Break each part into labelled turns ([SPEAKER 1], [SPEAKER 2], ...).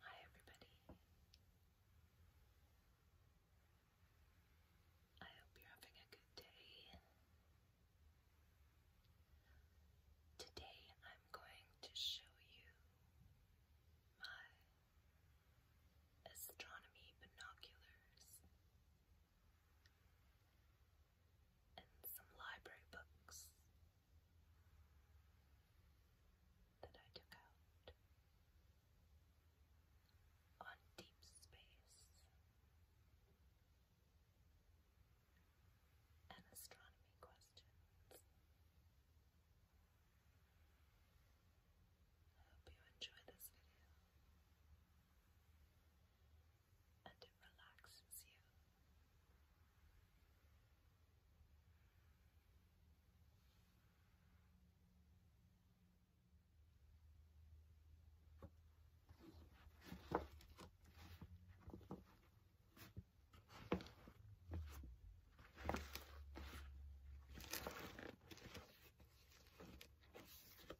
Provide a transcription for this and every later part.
[SPEAKER 1] Hi, everybody. I hope you're having a good day. Today, I'm going to show you my astronomy binoculars and some library books that I took out on deep space and astronomy questions. I hope you enjoy this video and it relaxes you.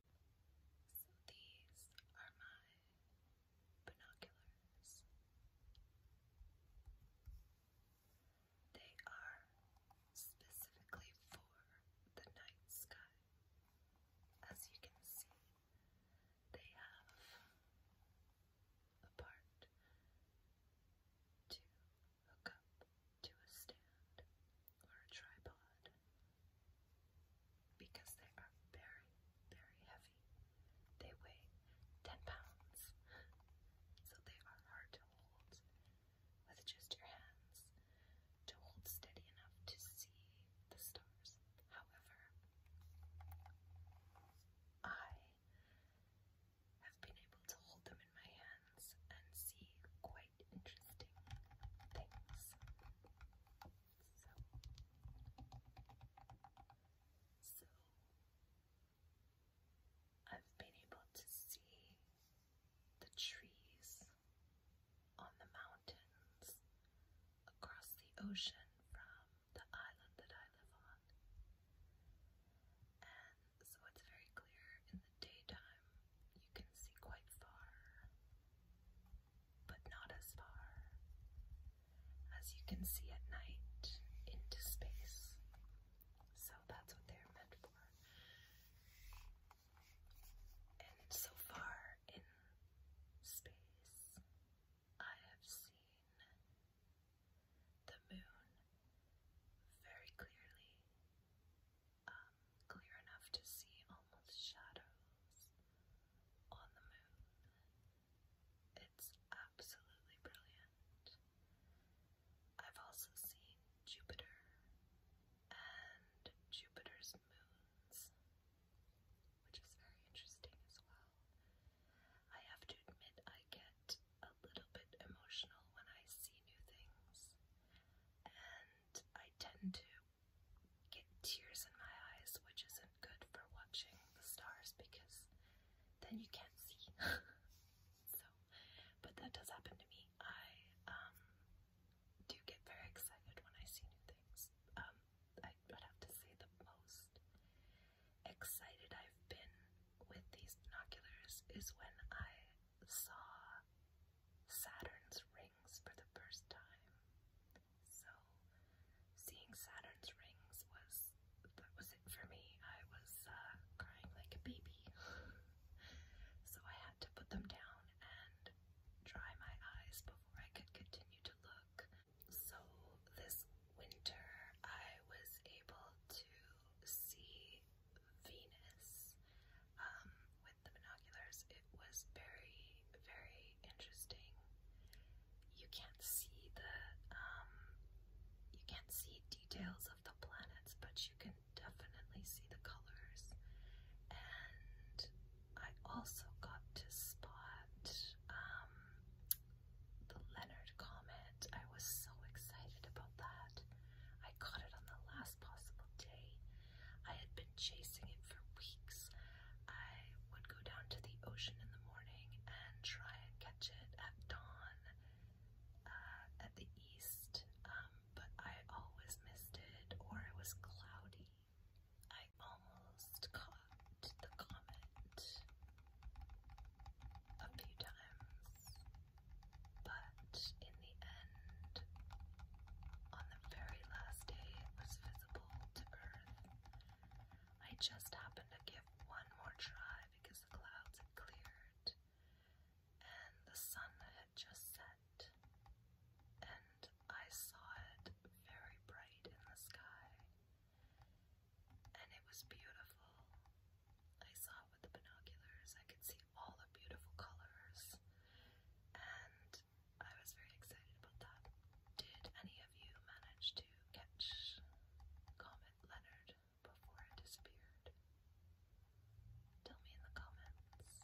[SPEAKER 1] So these are my binoculars. They are specifically for the night sky. As you can see, they have a part to hook up to a stand or a tripod because they are very, very heavy. They weigh 10 pounds, so they are hard to hold with just your hands to hold steady enough to see the stars. However, I have been able to hold them in my hands and see quite interesting things. So, so I've been able to see the trees on the mountains across the ocean from the island that I live on. And so it's very clear in the daytime, you can see quite far but not as far, as you can see at night into space. So that's what they're meant for. And so far in space, I have seen the moon very clearly. Uh, clear enough to see almost shadows on the moon. It's absolutely brilliant. I've also seen Jupiter and Jupiter's moons, which is very interesting as well. I have to admit, I get a little bit emotional when I see new things, and I tend to get tears in my eyes, which isn't good for watching the stars because then you can't see. so, but that does happen to me. I um, do get very excited when I see new things. Um, I would have to say the most excited I've been with these binoculars is when I saw Saturn's ring for the first time. So seeing Saturn's rings was that was it for me. I was uh, crying like a baby. so I had to put them down and dry my eyes before I could continue to look. So this winter I was able to see Venus um, the binoculars, it was very, very interesting. You can't see the um you can't see details of the planets, but you can definitely see the colors. And I also got to spot um the Leonard comet. I was so excited about that. I caught it on the last possible day. I had been been chasing it for weeks. I would go down to the ocean in the morning and try and catch it at dawn uh, at the east, um, but I always missed it or it was cloudy. I almost caught the comet a few times, but in the end, on the very last day, it was visible to Earth. I just happened to give one more try because the clouds had cleared and the sun had just set, and I saw it very bright in the sky, and it was beautiful. I saw it with the binoculars, I could see all the beautiful colors, and I was very excited about that. Did any of you manage to catch Comet Leonard before it disappeared? Tell me in the comments.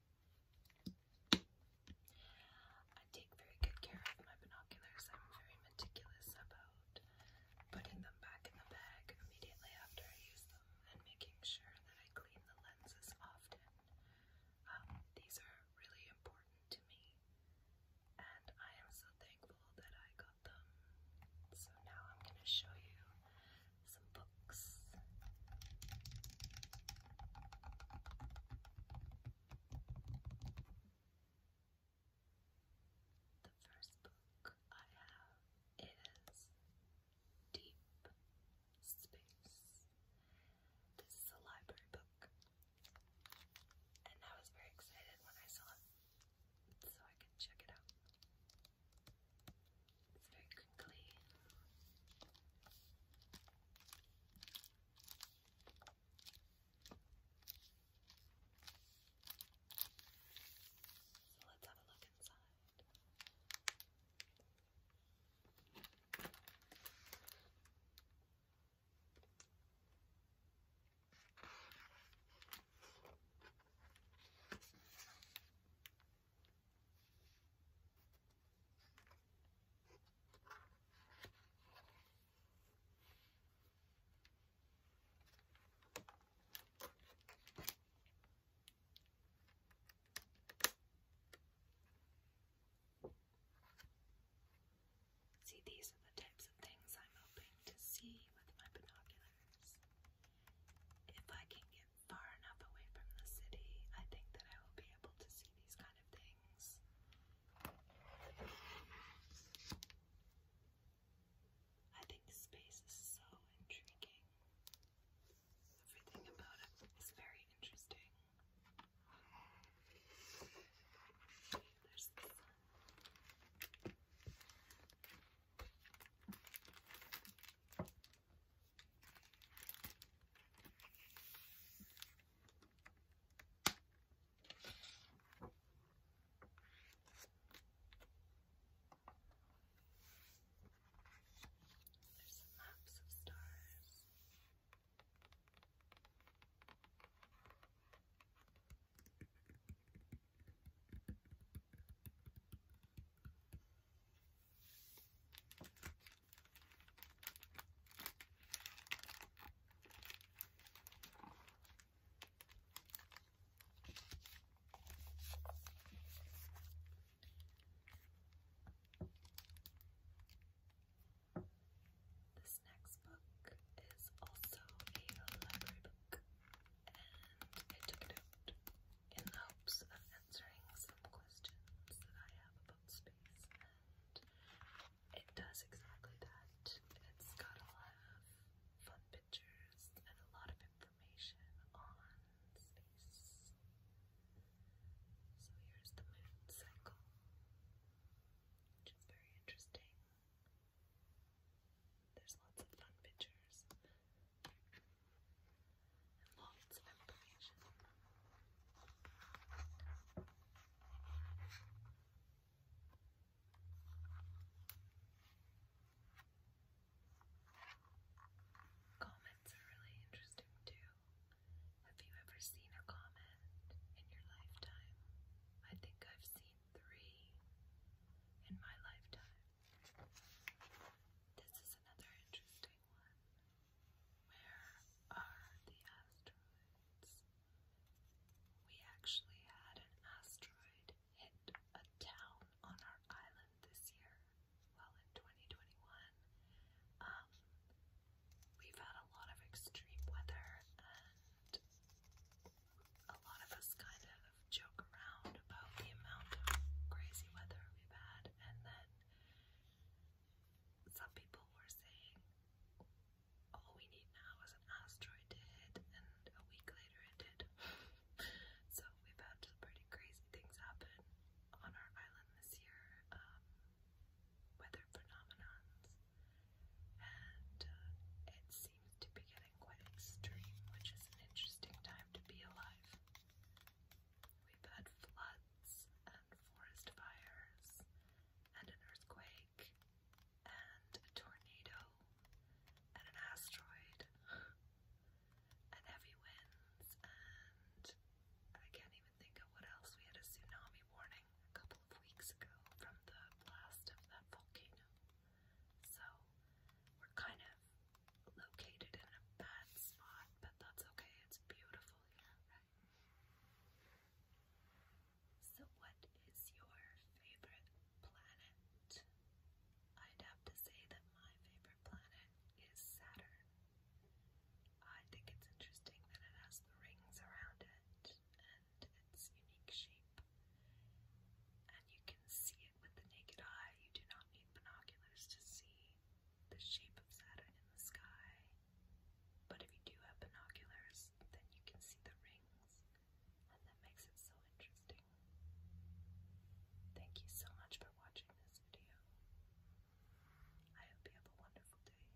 [SPEAKER 1] I take very good care of my binoculars. I'm very meticulous about putting them back in the bag immediately after I use them and making sure that I clean the lenses often. Um, these are really important to me, and I am so thankful that I got them. So now I'm going to show you some books. The first book I have is Deep Space. This is a library book, and I was very excited when I saw it so I could check it out. It's very crinkly. So let's have a look inside. See, these are the types of things I'm hoping to see with my binoculars. If I can get far enough away from the city, I think that I will be able to see these kind of things. I think space is so intriguing. Everything about it is very interesting. There's the sun. There's some maps of stars. This next book is also a library book, and I took it in the hopes of answering some questions that I have about space, and it does exactly that. It's got a lot of fun pictures and a lot of information on space. So here's the moon cycle, which is very interesting. There's lots of fun pictures lots are really interesting too. Have you ever seen a comment in your lifetime? I think I've seen three in my lifetime. This is another interesting one. Where are the asteroids? We actually had an asteroid hit a town on our island this year. Well, in 2021, um, we've had a lot of extreme weather, and a lot of us kind of joke around about the amount of crazy weather we've had, and then some people were saying all we need now is an asteroid to hit, and a week later it did. so we've had some pretty crazy things happen on our island this year, um, weather phenomenons, and uh, it seems to be getting quite extreme, which is an interesting time to be alive. We've had floods and forest fires and an earthquake and a tornado and an asteroid and heavy winds and I can't even think of what else. We had a tsunami warning a couple of weeks ago from the blast of that volcano. So we're kind of located in a bad spot, but that's okay. It's beautiful here, So, what is your favorite planet? I'd have to say that my favorite planet is Saturn. I think it's interesting that it has the rings around it and its unique shape. And you can see it with the naked eye. You do not need binoculars to see the shape of Saturn in the sky. But if you do have binoculars, then you can see the rings, and that makes it so interesting. Thank you so much for watching this video. I hope you have a wonderful day.